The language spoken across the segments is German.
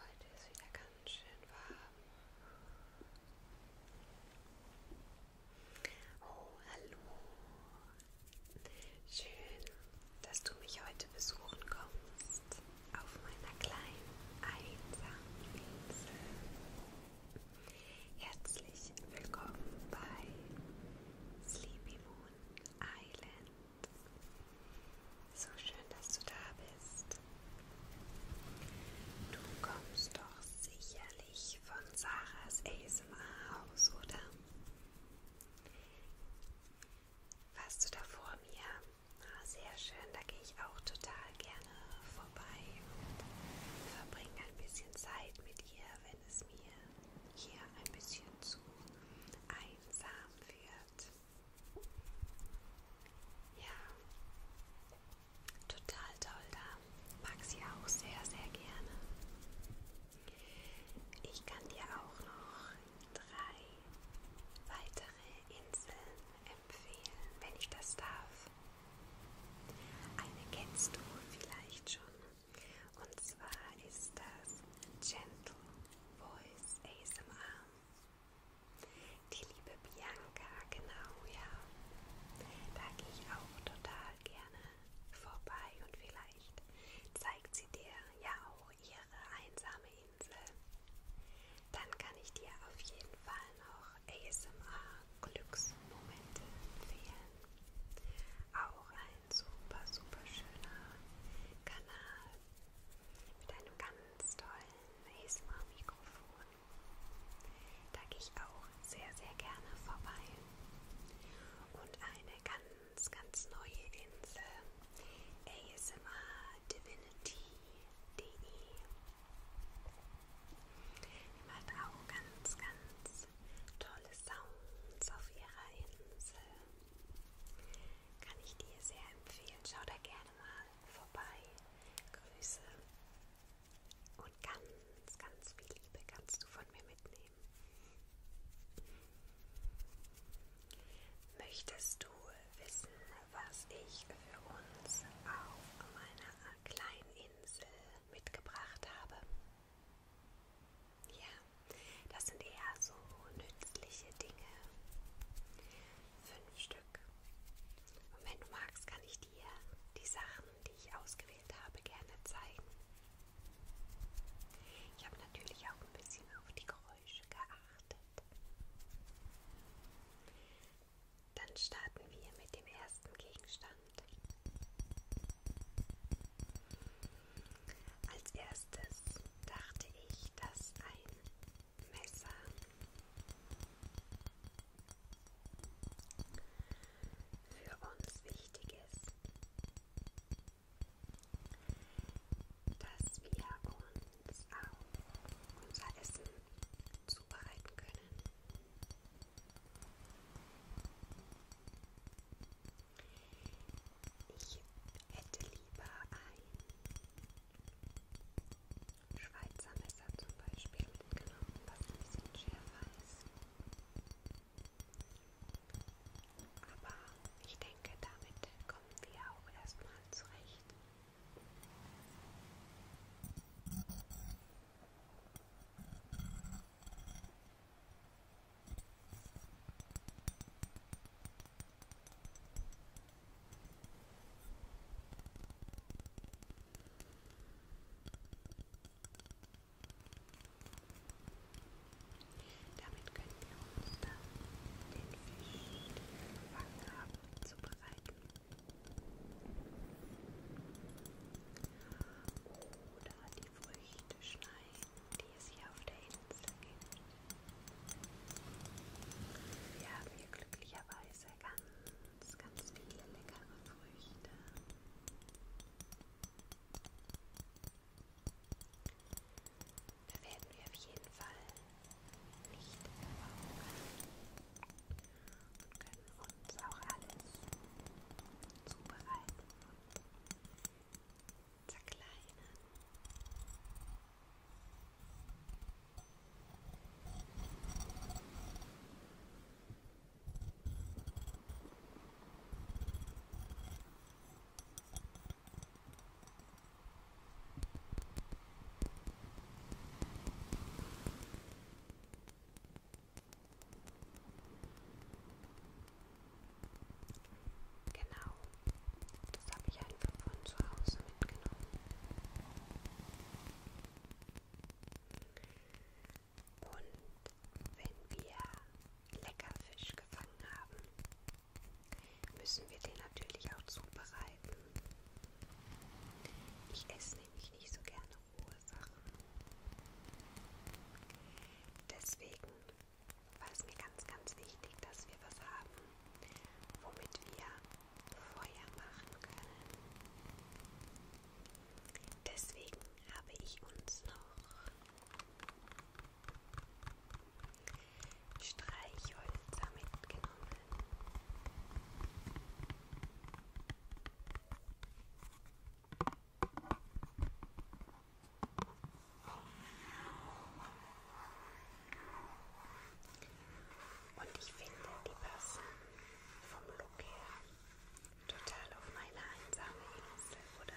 Heute ist wieder ganz schön warm. Oh, hallo. Schön, dass du mich heute besuchen kommst auf meiner kleinen einsamen Insel. Herzlich willkommen bei Sleepy Moon Island. So schön, dass du da bist. Du kommst doch sicherlich von Sarahs ASMR-Haus, oder? Warst du da vor mir? Ah, sehr schön, da gehe ich auch total gerne vorbei und verbringe ein bisschen Zeit mit dir, wenn es mir hier ein bisschen zu einsam wird. Ja, total toll da. Mag sie auch sehr, sehr gerne. Ich kann dir auch noch drei weitere Inseln empfehlen, wenn ich das darf. Eine kennst du vielleicht schon. Und zwar ist das Gentle Voice ASMR. Die liebe Bianca, genau, ja. Da gehe ich auch total gerne vorbei und vielleicht zeigt sie dir ja auch ihre einsame Insel. Dann kann ich dir auf jeden Fall noch ASMR Glücksmomente empfehlen. Auch ein super, super schöner Kanal mit einem ganz tollen ASMR-Mikrofon. Da gehe ich auch sehr, sehr gerne vorbei. Und eine ganz, ganz neue Insel, ASMRDivinity.de. Die macht auch ganz, ganz tolle Sounds auf ihrer Insel. Kann ich dir sehr empfehlen. Schau da gerne mal vorbei. Grüße und ganz, ganz viel Liebe kannst du von mir mitnehmen. Möchtest du wissen, was ich für uns auf meiner kleinen Insel mitgebracht habe? Ja, das sind eher so nützliche Dinge. Fünf Stück. Und wenn du magst, kann ich dir die Sachen, die ich ausgewählt habe, gerne zeigen. Ich habe natürlich auch ein bisschen auf die Geräusche geachtet. Dann starten wir mit dem ersten Gegenstand. Als erstes dachte ich, dass ein Messer für uns wichtig ist, dass wir uns auf unser Essen zubereiten können. Ich hätte lieber ein Schweizer Messer zum Beispiel mitgenommen, was ein bisschen schärfer ist. Aber ich denke, damit kommen wir auch erstmal zurecht. Damit können wir uns dann den Fisch, den wir gefangen haben, zubereiten. Oder die Früchte schneiden, die es hier auf der Insel gibt. Wir haben hier glücklicherweise ganz, ganz viele leckere Früchte. Da werden wir auf jeden Fall nicht verbrauchen und können uns auch alles zubereiten und zerkleinern. Genau, das habe ich einfach von zu Hause mitgenommen. Und wenn wir Leckerfisch gefangen haben, müssen wir den natürlich auch zubereiten. Ich esse nämlich nicht so gerne rohe Sachen. Deswegen war es mir ganz, ganz wichtig, dass wir was haben, womit wir Feuer machen können. Deswegen habe ich uns noch Streichhölzer mitgenommen. Und ich finde, die passen vom Look her total auf meine einsame Insel, oder?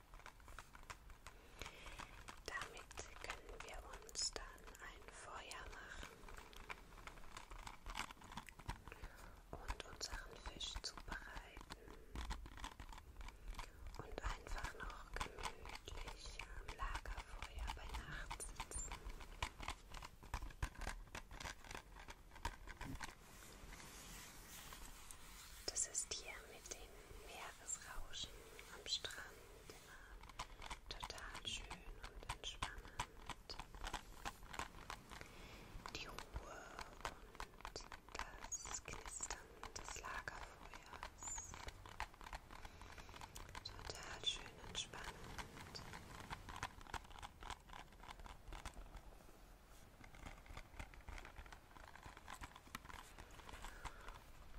Damit können wir uns dann ein Feuer machen und unseren Fisch zubereiten und einfach noch gemütlich am Lagerfeuer bei Nacht sitzen. Das ist hier mit den Meeresrauschen am Strand immer total schön und entspannend. Die Ruhe und das Knistern des Lagerfeuers. Total schön entspannend.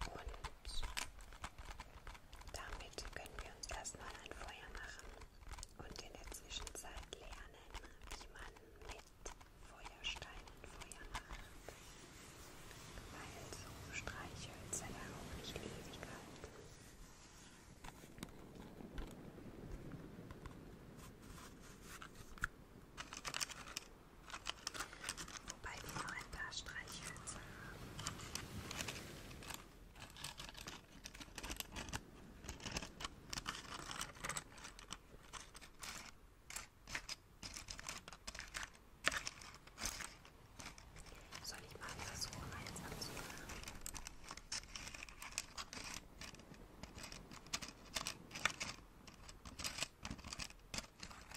Und damit können wir uns erstmal ein Feuer machen und in der Zwischenzeit lernen, wie man mit Feuersteinen Feuer macht. Weil so Streichhölzer ja auch nicht ewig halten. Wobei wir noch ein paar Streichhölzer haben. Soll ich mal versuchen, eins anzufangen?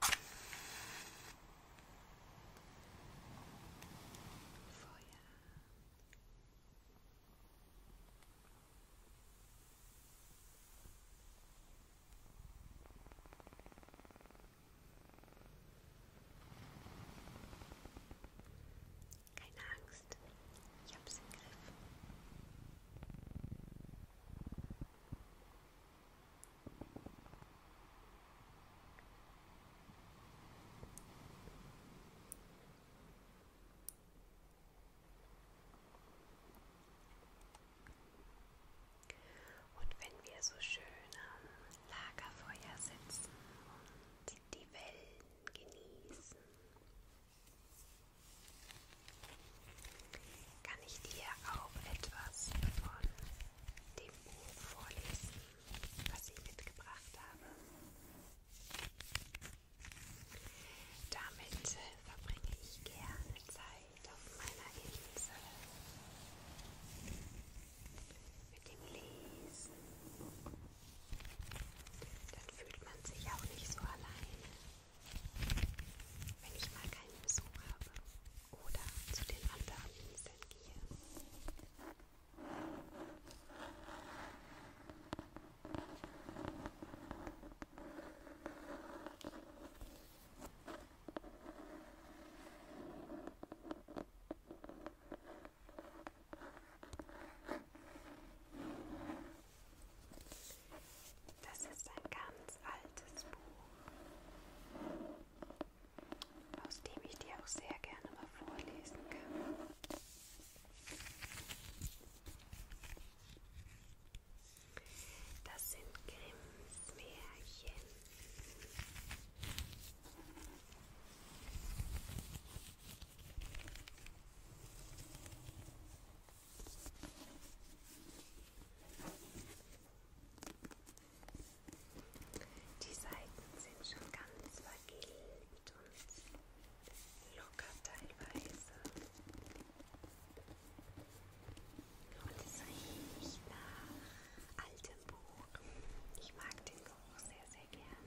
Keine Angst, ich hab's im Griff. Und wenn wir so schön am Lagerfeuer sitzen und die Wellen genießen, kann ich dir auch etwas von dem Buch vorlesen, was ich mitgebracht habe? Damit verbringe ich gerne Zeit auf meiner Insel. Mit dem Lesen. Dann fühlt man sich auch nicht so alleine. Wenn ich mal keinen Besuch habe oder zu den anderen Inseln gehe. Das ist ein ganz altes Buch, aus dem ich dir auch sehr gerne mal vorlesen kann. Das sind Grimms Märchen. Die Seiten sind schon ganz vergilbt und locker teilweise. Und es riecht nach altem Buch. Ich mag den Geruch sehr, sehr gerne.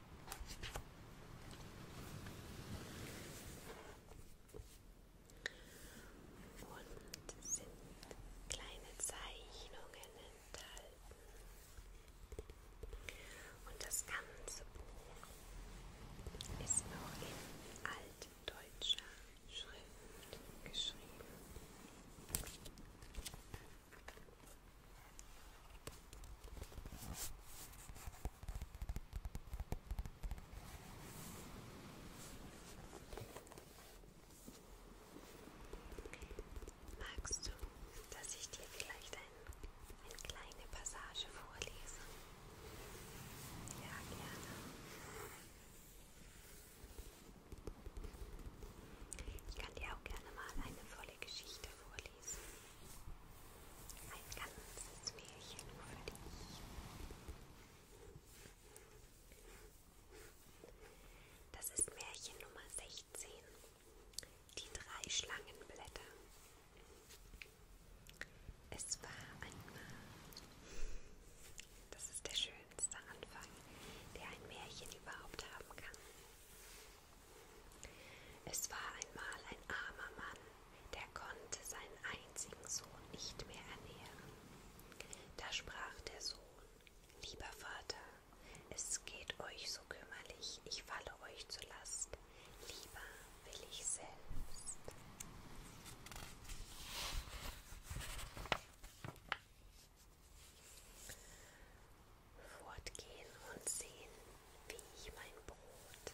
Und sind kleine Zeichnungen enthalten. Und das ganze Buch ist noch in altdeutscher Schrift geschrieben. Magst du, dass ich dir vielleicht ein, eine kleine Passage vorlese? Ja, gerne. Ich kann dir auch gerne mal eine volle Geschichte vorlesen. Ladies. Ein ganzes Märchen für dich. Das ist Märchen Nummer 16. Die drei Schlangenblätter. Es war einmal. Das ist der schönste Anfang, der ein Märchen überhaupt haben kann. Es war einmal ein armer Mann, der konnte seinen einzigen Sohn nicht mehr ernähren. Da sprach der Sohn, Lieber Vater, es geht euch so kümmerlich, ich falle euch zur Last, lieber will ich selbst. Fortgehen und sehen, wie ich mein Brot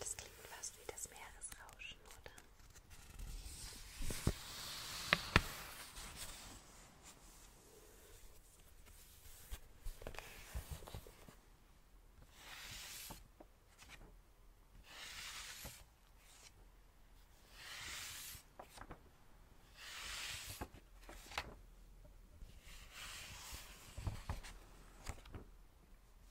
Das klingt fast wie das Meeresrauschen, oder?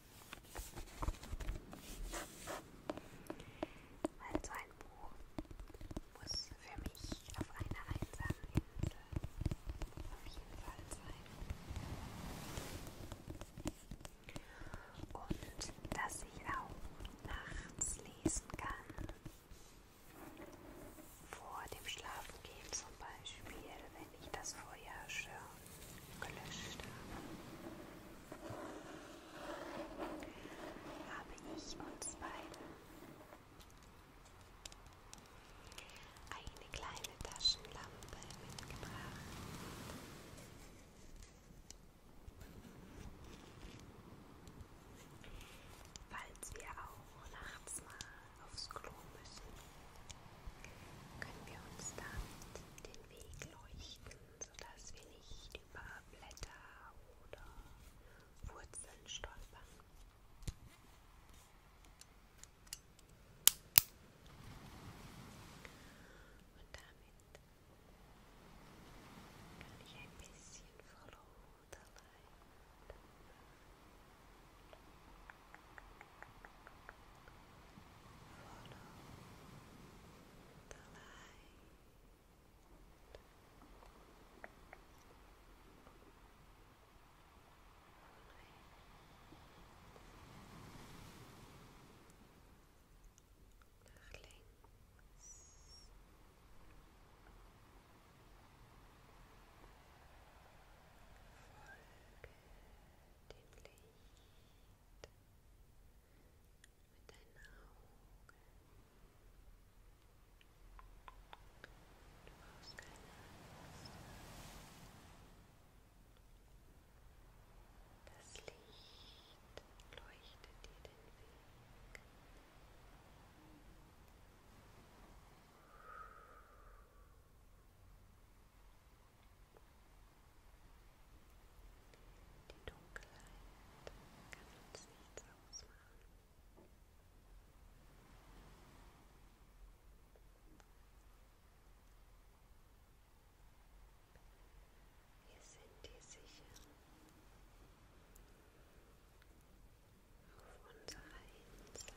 Weil so ein Buch muss für mich auf einer einsamen Insel auf jeden Fall sein. Und dass ich auch nachts lesen kann. Vor dem Schlafengehen zum Beispiel, wenn ich das Feuer schon gelöscht habe, habe ich uns beide eine kleine Taschenlampe mitgebracht. Falls wir auch nachts mal aufs Klo müssen, können wir uns damit den den Weg leuchten, sodass wir nicht über Blätter oder Wurzeln stolpern. Und damit kann ich ein bisschen verloren. Follow the light. Follow the light. Follow the light. Nach links. Folge dem Licht. mit deinen Augen. Du brauchst keine Angst. Das Licht leuchtet dir den Weg. Die Dunkelheit kann uns nichts ausmachen. Wir sind dir sicher auf unserer Insel.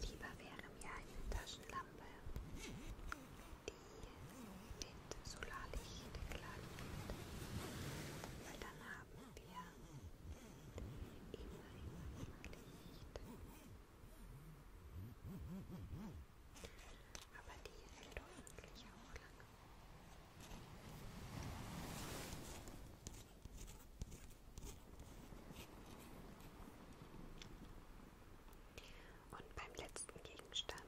Lieber wäre mir eine Taschenlampe, die mit Solarlicht geladen wird, weil dann haben wir immer, immer Licht. Aber die hält hoffentlich auch lange. Und beim letzten Gegenstand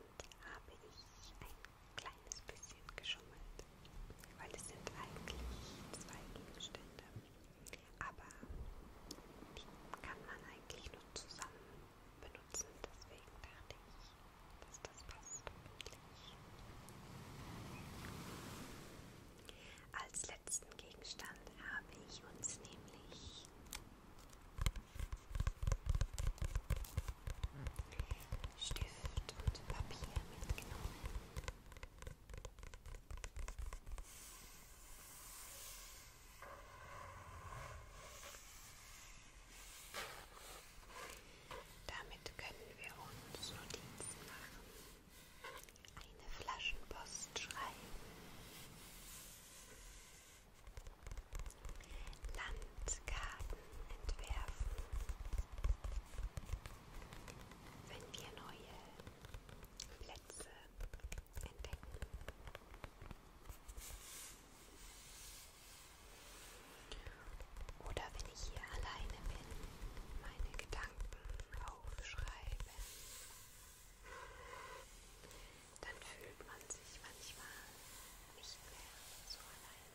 habe ich ein kleines bisschen geschummelt, weil es sind eigentlich zwei Gegenstände aber die kann man eigentlich nur zusammen benutzen, deswegen dachte ich, dass das passt wirklich. Als letzten Gegenstand habe ich uns nämlich Stift und Papier mitgenommen. Damit können wir uns Notizen machen, eine Flaschenpost schreiben, Landkarten entwerfen, wenn wir neue Schätze entdecken. Oder wenn ich hier alleine bin, meine Gedanken aufschreibe, dann fühlt man sich manchmal nicht mehr so alleine.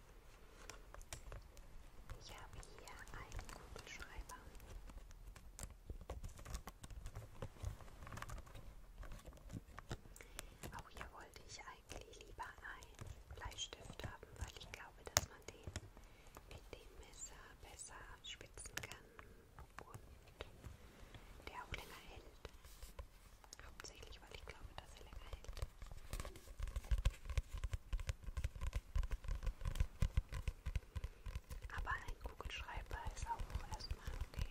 Ich habe hier einen Kugelschreiber. Auch hier wollte ich eigentlich lieber einen Bleistift haben, weil ich glaube, dass man den mit dem Messer besser spitzen kann und der auch länger hält. Hauptsächlich, weil ich glaube, dass er länger hält. Aber ein Kugelschreiber ist auch erstmal okay.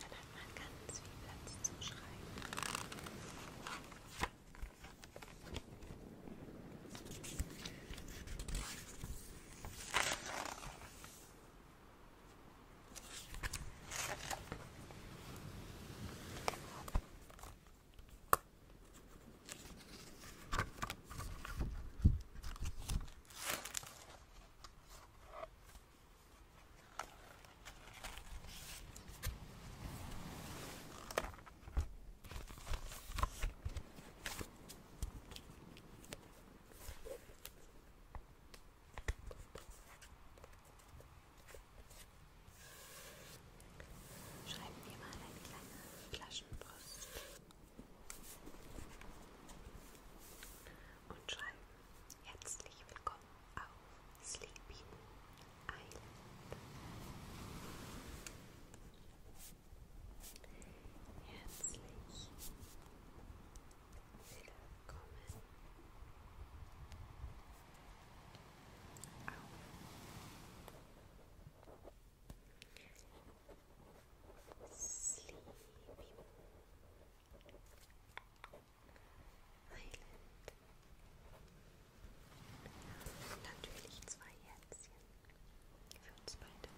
Dann hat man ganz viel Platz zum Schreiben. Schreibt mir mal eine kleine Flaschenpost und schreiben herzlich willkommen auf Sleepy Island. Herzlich willkommen auf Sleepy Island. Natürlich zwei Herzchen für uns beide.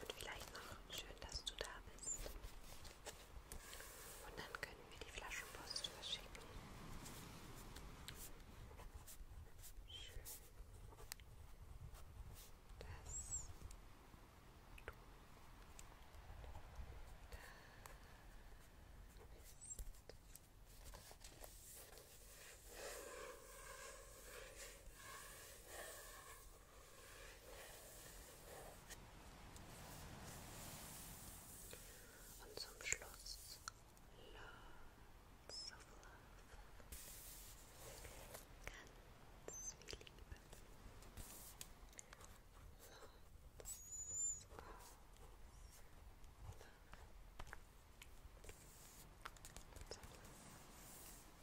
Und vielleicht noch schön, dass du da bist. Und dann können wir die Flaschenpost verschicken. Schön, dass du da bist. Und zum Schluss Lots of Love. Ganz viel Liebe. Lots of Love. Lots of Love.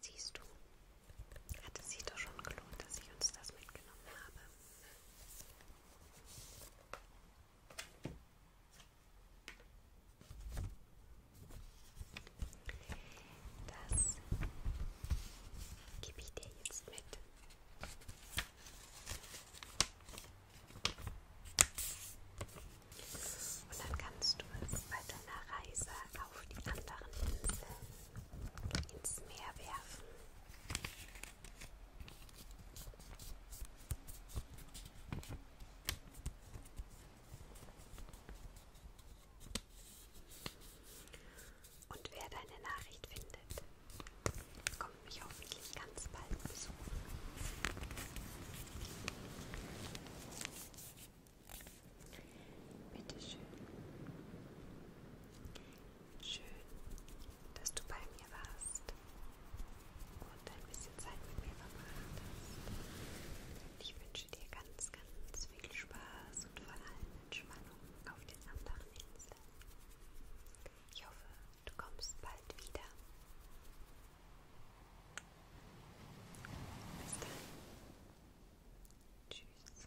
Siehst du, hatte sich doch schon gelohnt, dass ich uns das mitgenommen habe. Das gebe ich dir jetzt mit. Und dann kannst du es bei deiner Reise auf die anderen Inseln ins Meer werfen. Und wer deine Nachricht findet, Kommt mich hoffentlich ganz bald besuchen. Bitte schön. Schön, dass du bei mir warst und ein bisschen Zeit mit mir verbracht hast. Ich wünsche dir ganz, ganz viel Spaß und vor allem Entspannung auf den anderen Inseln. Ich hoffe, du kommst bald wieder. Bis dann. Tschüss.